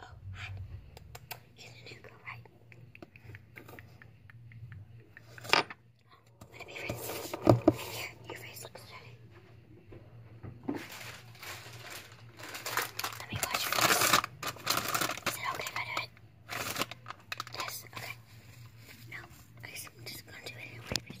Oh, hi. He's a new girl, right? let it be friends. your face looks dirty. Let me watch your face. Is it okay if I do it? Yes, okay. No, I am just gonna do it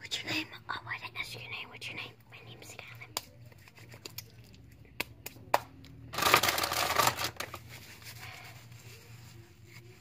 What's your name? Oh, I didn't ask your name. What's your name? My name's Gavin.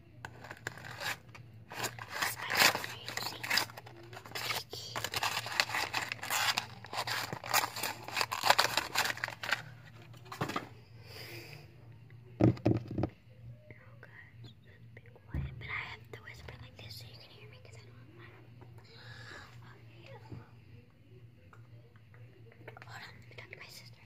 quiet, but I have to whisper like this so you can hear me because I don't have my. Hold on, let me talk to my sister.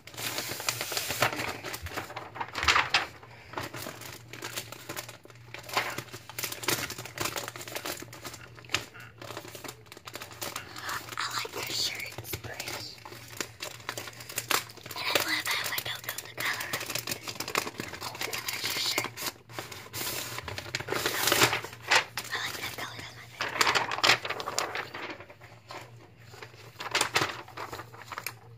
I like her shirt, it's pretty. And I love how I don't know the color of it. Oh, there's your shirt. I like that color, that's my favorite.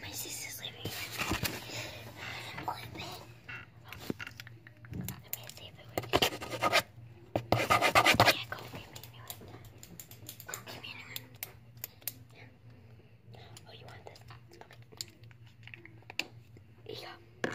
My sister's leaving right now. I'm going Let me see if it works. Yeah, go give me anyone. Go give me anyone. Yeah. Oh, you want this? Okay. Here you go.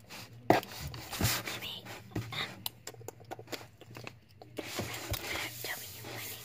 Maybe, um, without telling you my name.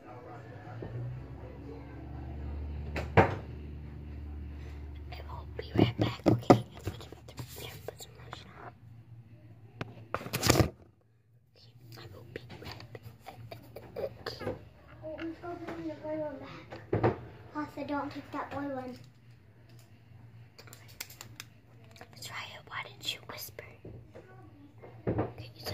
I will be right back, okay? I'm put some, yeah, put some lotion on. Okay, I will be right back. Oh, I'm still putting the blue one back. Also, don't take that blue one. Try it. Why didn't you whisper? Okay, so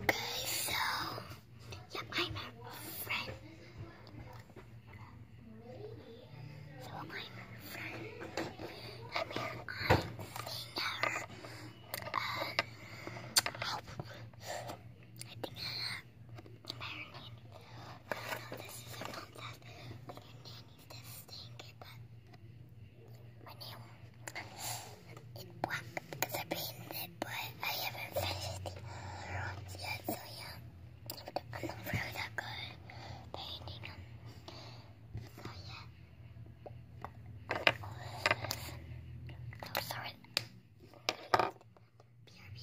Okay, so, yeah, I'm her friend. So I'm her friend. I mean, I'm seeing her, um, help. I think uh, her name. I don't know, this is her mom's house. Her nanny's just staying here, but my nail. It's black because I painted it, but I haven't finished the other ones yet, so yeah. I'm not really that good at painting them. So yeah. Oh, sorry. BRB.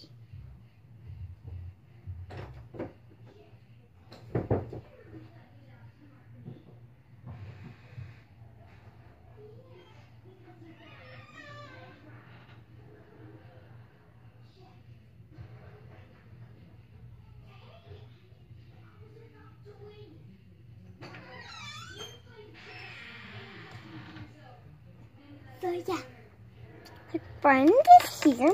So yeah, my friend is here.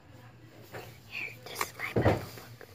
Here, this is my Bible book. Oh.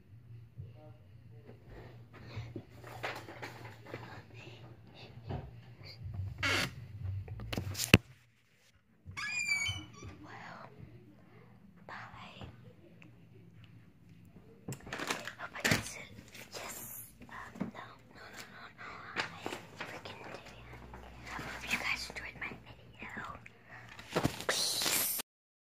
Well, bye. Oh my God! Yes. Um, no, no, no, no, no. I freaking did it. I hope you guys enjoyed my video. Peace.